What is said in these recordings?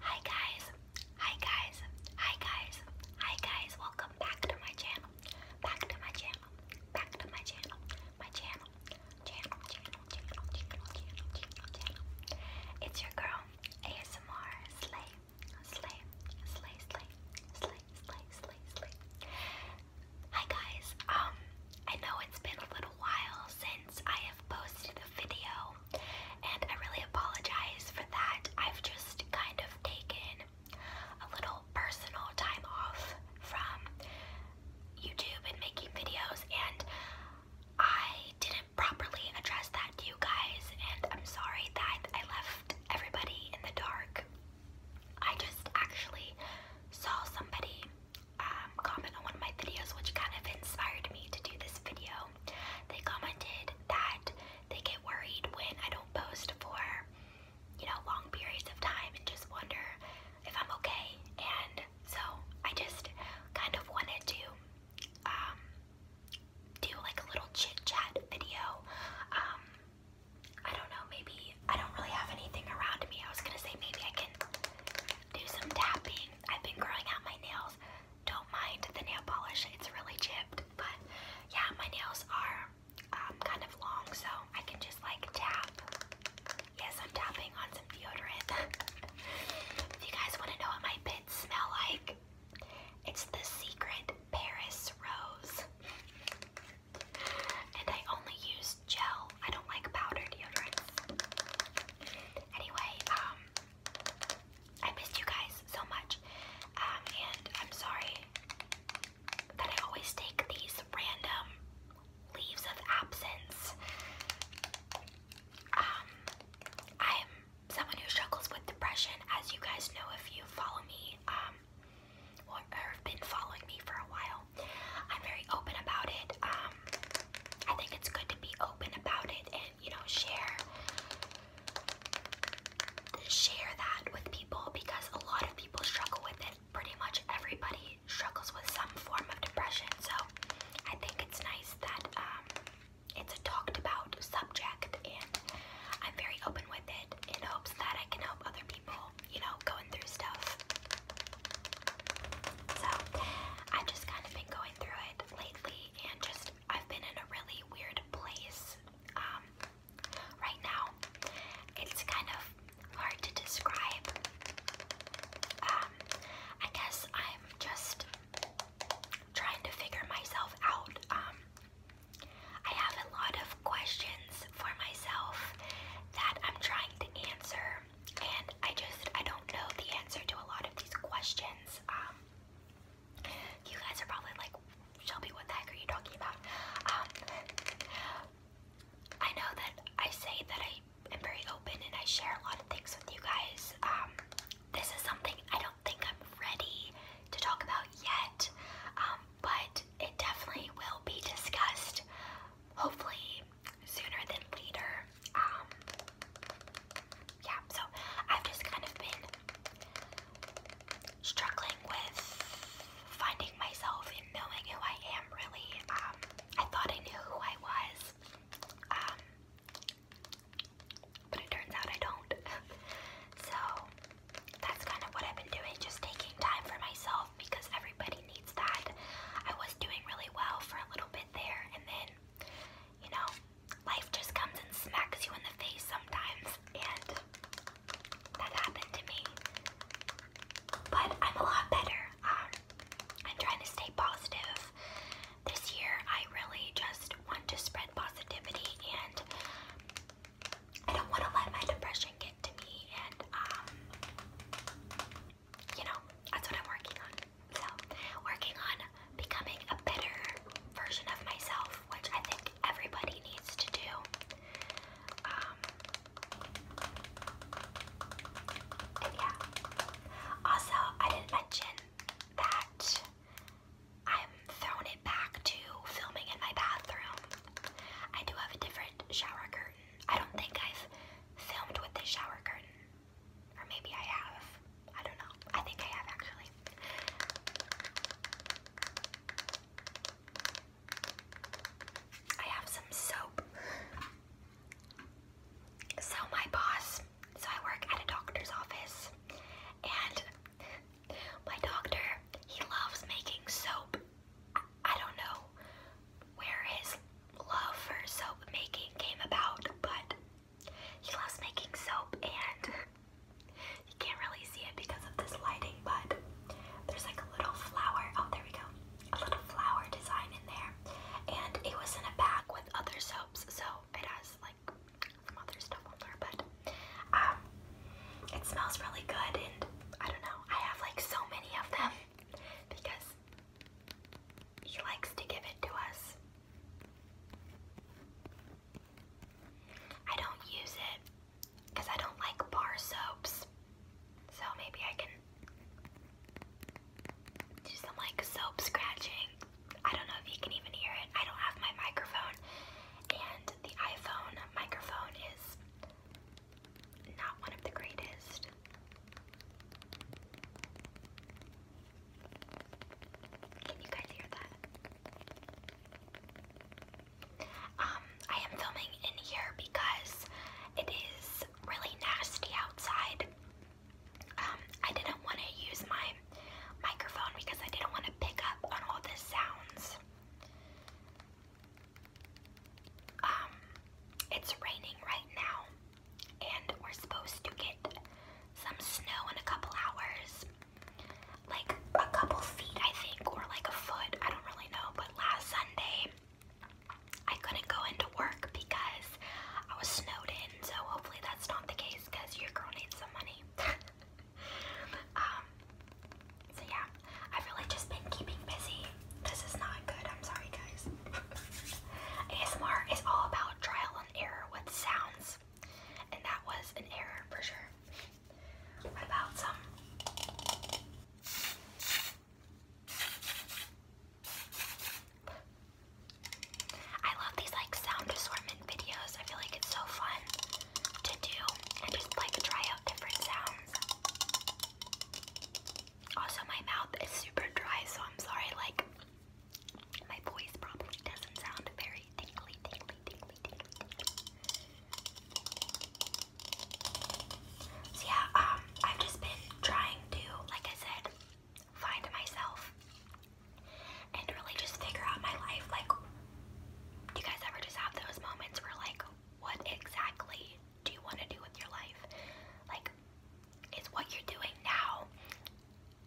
Hi guys, hi guys, hi guys, hi guys, welcome back to my channel, back to my channel, back to my channel, my channel, channel, channel, channel, channel, channel, channel, It's your girl, ASMR Slay, Slay, Slay, Slay, Slay, Slay, Slay, Slay. Hi guys, um, I know it's been a little while since I have posted the video, and I really apologize for that. I've just kind of taken a little personal time off from YouTube and making videos, and I didn't properly address that to you guys, and I'm sorry that I left everybody in the dark. I just actually saw somebody um, comment on one of my videos, which kind of inspired me to do this video they commented that they get worried when I don't post for, you know, long periods of time and just wonder if I'm okay. And so I just kind of wanted to um, do like a little chit chat video. Um, I don't know, maybe I don't really have anything around me. I was gonna say maybe I can do some tapping. I've been growing out my nails don't mind the nail polish. It's really chipped, but yeah, my nails are um, kind of long, so I can just like tap. Yes, I'm tapping on some deodorant. if you guys want to know what my bits smell like, it's the secret Paris Rose. and I only use gel. I don't like powder deodorant. Anyway, um, I missed you guys so much. Um, and I'm sorry that I always take these random leaves of absence. I'm um, someone who struggles with depression, as you guys know if you follow me, um, or, have been following me for a while. I'm very open about it. I think it's good to be open about it and you know share share that with people because a lot of people struggle with it. Pretty much everybody struggles with some form of depression. So I think it's nice that um, it's a talked about subject and I'm very open with it in hopes that I can help other people, you know, going through stuff. So I've just kind of been going through it lately and just I've been in a really weird place um, right now. It's kind of hard to describe. Um, I guess I'm just trying to figure myself out. Um, I have a lot of questions for myself that I'm trying to answer and I just I don't know the answer to a lot of these questions. Um, you guys are probably like, Shelby, what the heck are you talking about? Um, I know that I say that I am very open and I share a lot of things with you guys. Um, this is something I don't think I'm ready to talk about yet, but it definitely will be discussed. Hopefully, sooner than later. Um, yeah, so I've just kind of been struggling with finding myself and knowing who I am, really. Um, I thought I knew who I was, um, but it turns out I don't. so that's kind of what I've been doing, just taking time for myself because everybody needs that. I was doing really well for a little bit there, and then, you know, life just comes and smacks you in the face sometimes, and that happened to me. But I'm a lot better. Um, I'm trying to stay positive. This year, I really just want to spread positivity, and I don't want to let my depression get to me. And um, you know, that's what I'm working on. So, working on becoming a better version of myself, which I think everybody needs to do. Um, and yeah. Also, I didn't mention that I'm throwing it back to filming in my bathroom. I do have a different shower curtain I don't think I've filmed with the shower curtain. Or maybe I have. I don't know. I think I have actually. I have some soap. So my boss, so I work at a doctor's office and my doctor, he loves making soap I don't know where his love for soap making came about, but he loves making soap and you can't really see it because of this lighting, but there's like a little flower. Oh, there we go. A little flower design in there. And it was in a bag with other soaps, so it has like some other stuff on there, but um, it smells really good and I don't know. I have like so many of them because he likes to give it to us. I don't use it because I don't like bar soaps. So maybe I can do some like soap scratching. I don't know if you can even hear it. I don't have my microphone. And the iPhone microphone is not one of the greatest. Can you guys hear that? Um, I am filming in here because it is really nasty outside. Um, I didn't want to use my microphone because I didn't want to pick up on all the sounds. Um, it's raining right now, and we're supposed to get some snow in a couple hours. Like a couple feet, I think, or like a foot. I don't really know. But last Sunday, I couldn't go into work because I was snowed in. So hopefully that's not the case because your girl needs some money. Um, so yeah, I've really just been keeping busy. This is not good, I'm sorry guys. ASMR is all about trial and error with sounds. And that was an error for sure. about some? I love these like sound assortment videos. I feel like it's so fun to do and just like try out different sounds. Also, my mouth is super dry, so I'm sorry, like, my voice probably doesn't sound very tingly, tingly, tingly, tingly, So yeah, um, I've just been trying to, like I said, find myself and really just figure out my life. Like, do you guys ever just have those moments where, like, what exactly do you want to do with your life? Like, is what you're doing now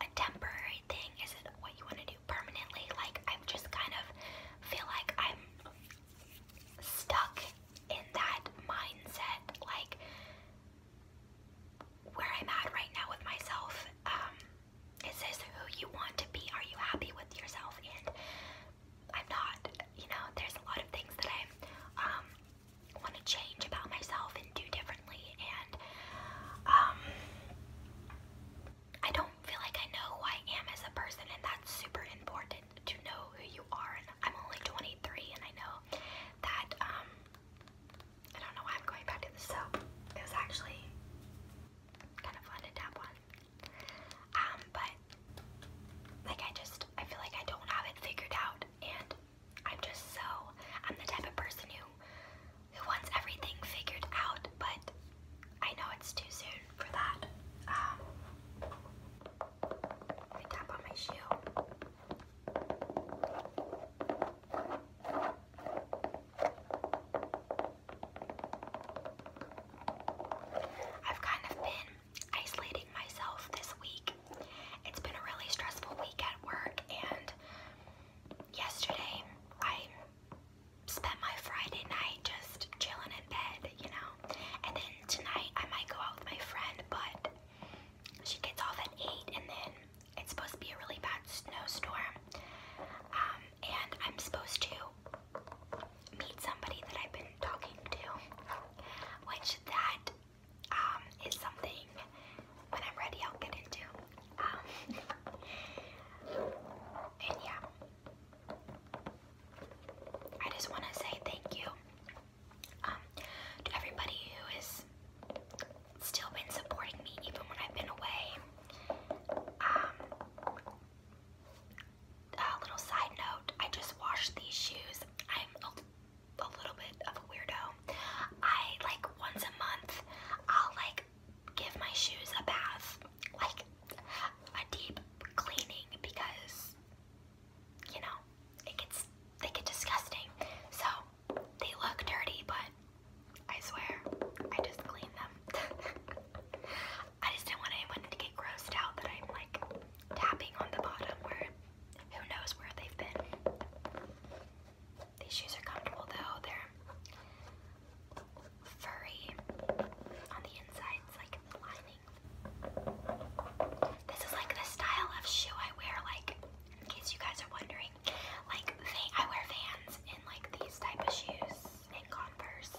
a temporary thing? Is it what you want to do permanently? Like, I just kind of feel like I'm stuck in that mindset, like where I'm at right now with myself. Um, is this who you want to be? Are you happy with yourself? And I'm not. You know, there's a lot of things that I um, want to change about myself and do differently, and um, I don't feel like I know who I am as a person, and that's super important to know who you are. And I'm only 23, and I know that. Um, I don't know why I'm going back to the soap. It was actually kind of fun to tap on. Um, but like I just I feel like I don't have it figured out and I'm just so I'm the type of person who who wants everything figured out, but I know it's too soon for that. Um tap on my shoe. I've kind of been isolating myself this week. It's been a really stressful week at work, and yesterday I spent my Friday night just chilling in bed, you know. And then tonight I might go out with my friend, but she gets off at 8 and then it's supposed to be a really bad snowstorm. Um, and I'm supposed to meet somebody that I've been talking to, which that um, something when I'm ready I'll get into. Um, and yeah, I just want to say thank you um, to everybody who has still been supporting me even when I've been away a little side note, I just washed these shoes. I'm a, little bit of a weirdo. I like once a month, I'll like give my shoes a bath, like a deep cleaning because you know, it gets they get disgusting. So they look dirty, but I swear I just clean them I just didn't want anyone to get grossed out that I'm like tapping on the bottom where who knows where they've been. These shoes are comfortable though. They're furry on the inside. like lining. This is like the style of shoe I wear like in case you guys are wondering. Like, I wear Vans in like these type of shoes and Converse.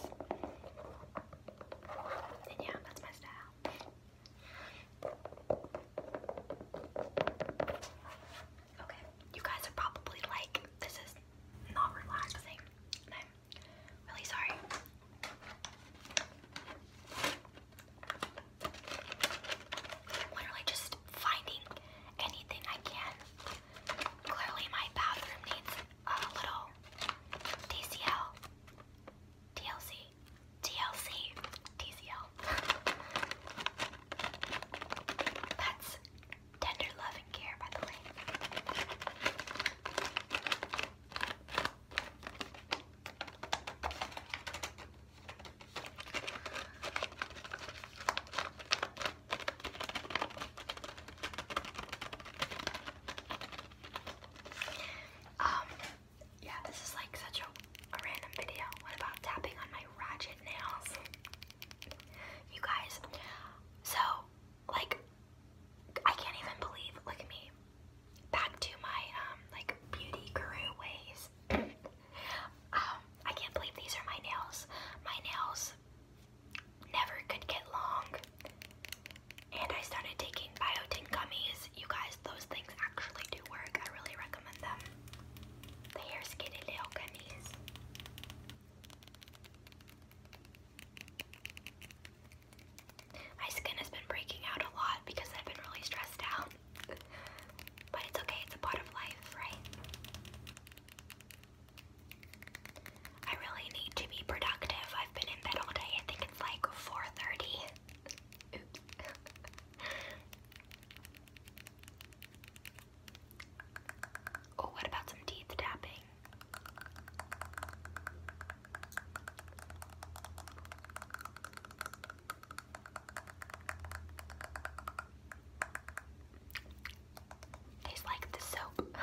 yeah, that's my style. Okay, you guys are probably like, this is not relaxing. I'm really sorry. I'm literally just finding anything I can. Clearly, my bathroom needs uh, little DCL, DCL. That's tender love care, by the way. Um, yeah, this is like such a, random video. What about tapping on my ratchet nails? you guys, so, like, I can't even believe, look at me, back to my, um, like, beauty guru ways. Um, I can't believe these are my nails. My nails never could get long. And I started taking biotin gummies. You guys, those things actually do work. I really recommend them. The hair skinny little gummies. My skin has been breaking out a lot because I've been really stressed out. But it's okay, it's a part of life, right? I really need to be productive. I've been in bed all day. I think it's like 4:30. oh, what about some teeth tapping? Tastes like the soap.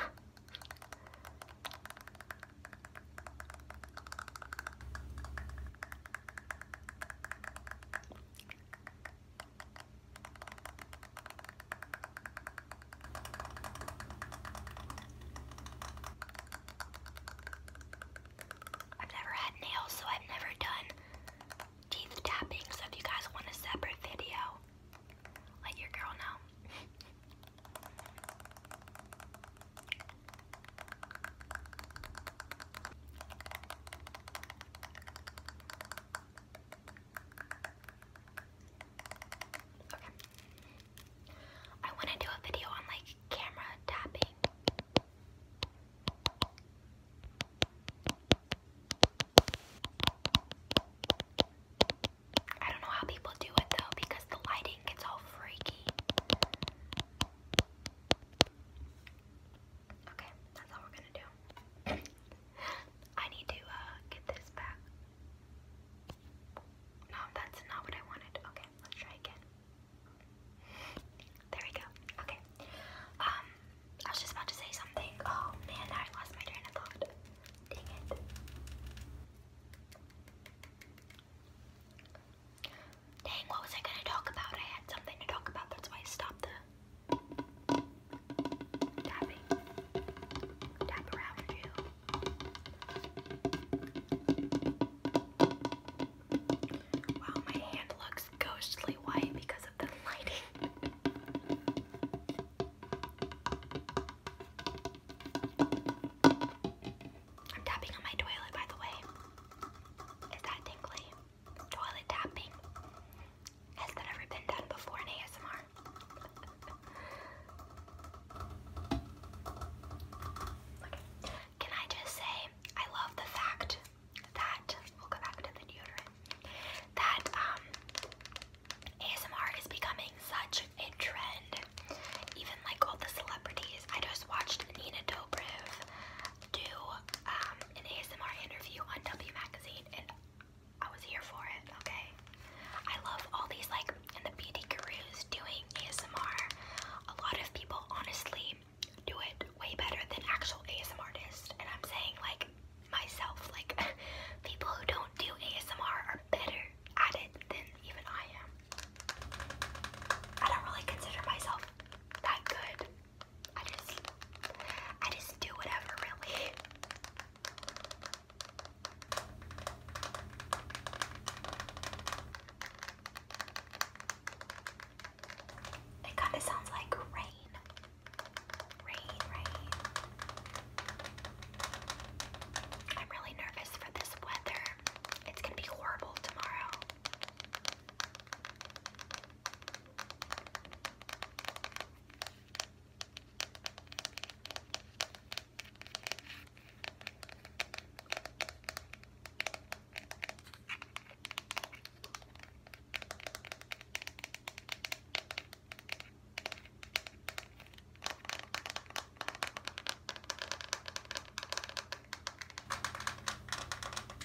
I've never had nails, so I've never done teeth tapping, so if you guys want a separate video, let your girl know. okay. I want to do a video on like camera tapping. I don't know how people do it though because the lighting gets all freaky. Okay, that's all we're gonna do. I need to uh, get this back. No, that's not what I wanted. Okay, let's try again. There we go. Okay. Um, I was just about to say something. Oh man, I lost my train of thought. Dang it. Dang, what was I gonna talk about? I had something to talk about, that's why I stopped the tapping. Tap around you. Wow, my hand looks looks ghostly white because of the lighting. I'm tapping on my toilet, by the way. Is that tingly? Toilet tapping. Has that ever been done before in ASMR? Can I just say, I love the fact that we'll go back to the deodorant. That um, ASMR is becoming such a trend. Even like all the celebrities. I just watched Nina Dobrev do um, an ASMR interview on W magazine and I was here for it, okay? I love all these like in the beauty gurus doing ASMR. A lot of people honestly do it way better than actual ASM artists. And I'm saying like myself, like people who don't do ASMR are better at it than even I am. I don't really consider myself that good. I just I just do whatever really. It kind of sounds like rain. Rain, rain. I'm really nervous for this weather. It's gonna be horrible tomorrow.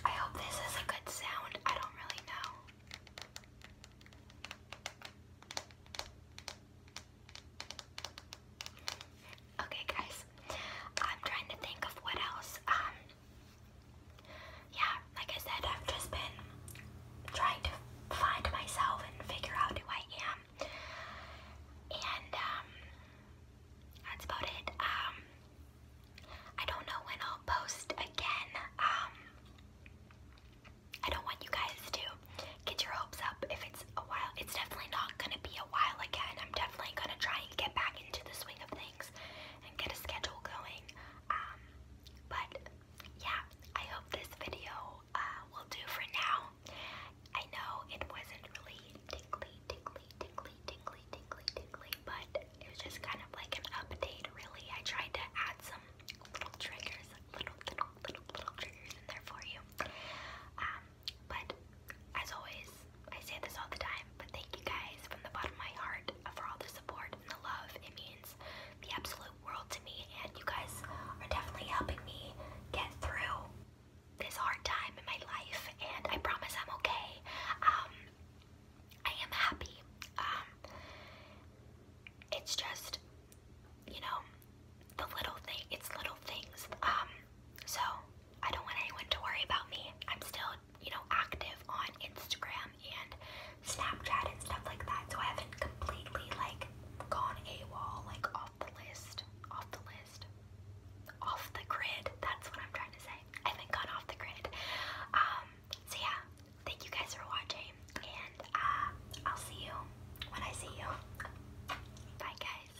I hope this is a good sound. I don't really know. Okay, guys, I'm trying to think of what else. Um, yeah, like I said, I've just been trying to find myself and figure out who I am. And um, that's about it. Um I don't know when I'll post again. Um I don't want you guys to get your hopes up if it's a while. It's definitely not gonna be a while again. I'm definitely gonna try and get back into the swing of things things and get a schedule going. Um, but yeah, I hope this video uh, will do for now. I know it wasn't really tingly, tingly, tingly, tingly, tingly, tingly, but it was just kind of like an update, really. I tried to add some little triggers, little, little, little, little triggers in there for you. Um, but as always, I say this all the time, but thank you guys from the bottom of my heart for all the support and the love. It means the absolute world to me, and you guys are definitely helping me get through this hard time in my life, and I promise I'm okay. Um, I am happy. Um, it's just, you know, the little thing, it's little things. Um, so I don't want anyone to worry about me. I'm still you know, active on Instagram and Snapchat and stuff like that. So I haven't completely like gone a wall, like off the list, off the list, off the grid. That's what I'm trying to say. I haven't gone off the grid. Um, so yeah, thank you guys for watching, and uh, I'll see you when I see you. Bye, guys.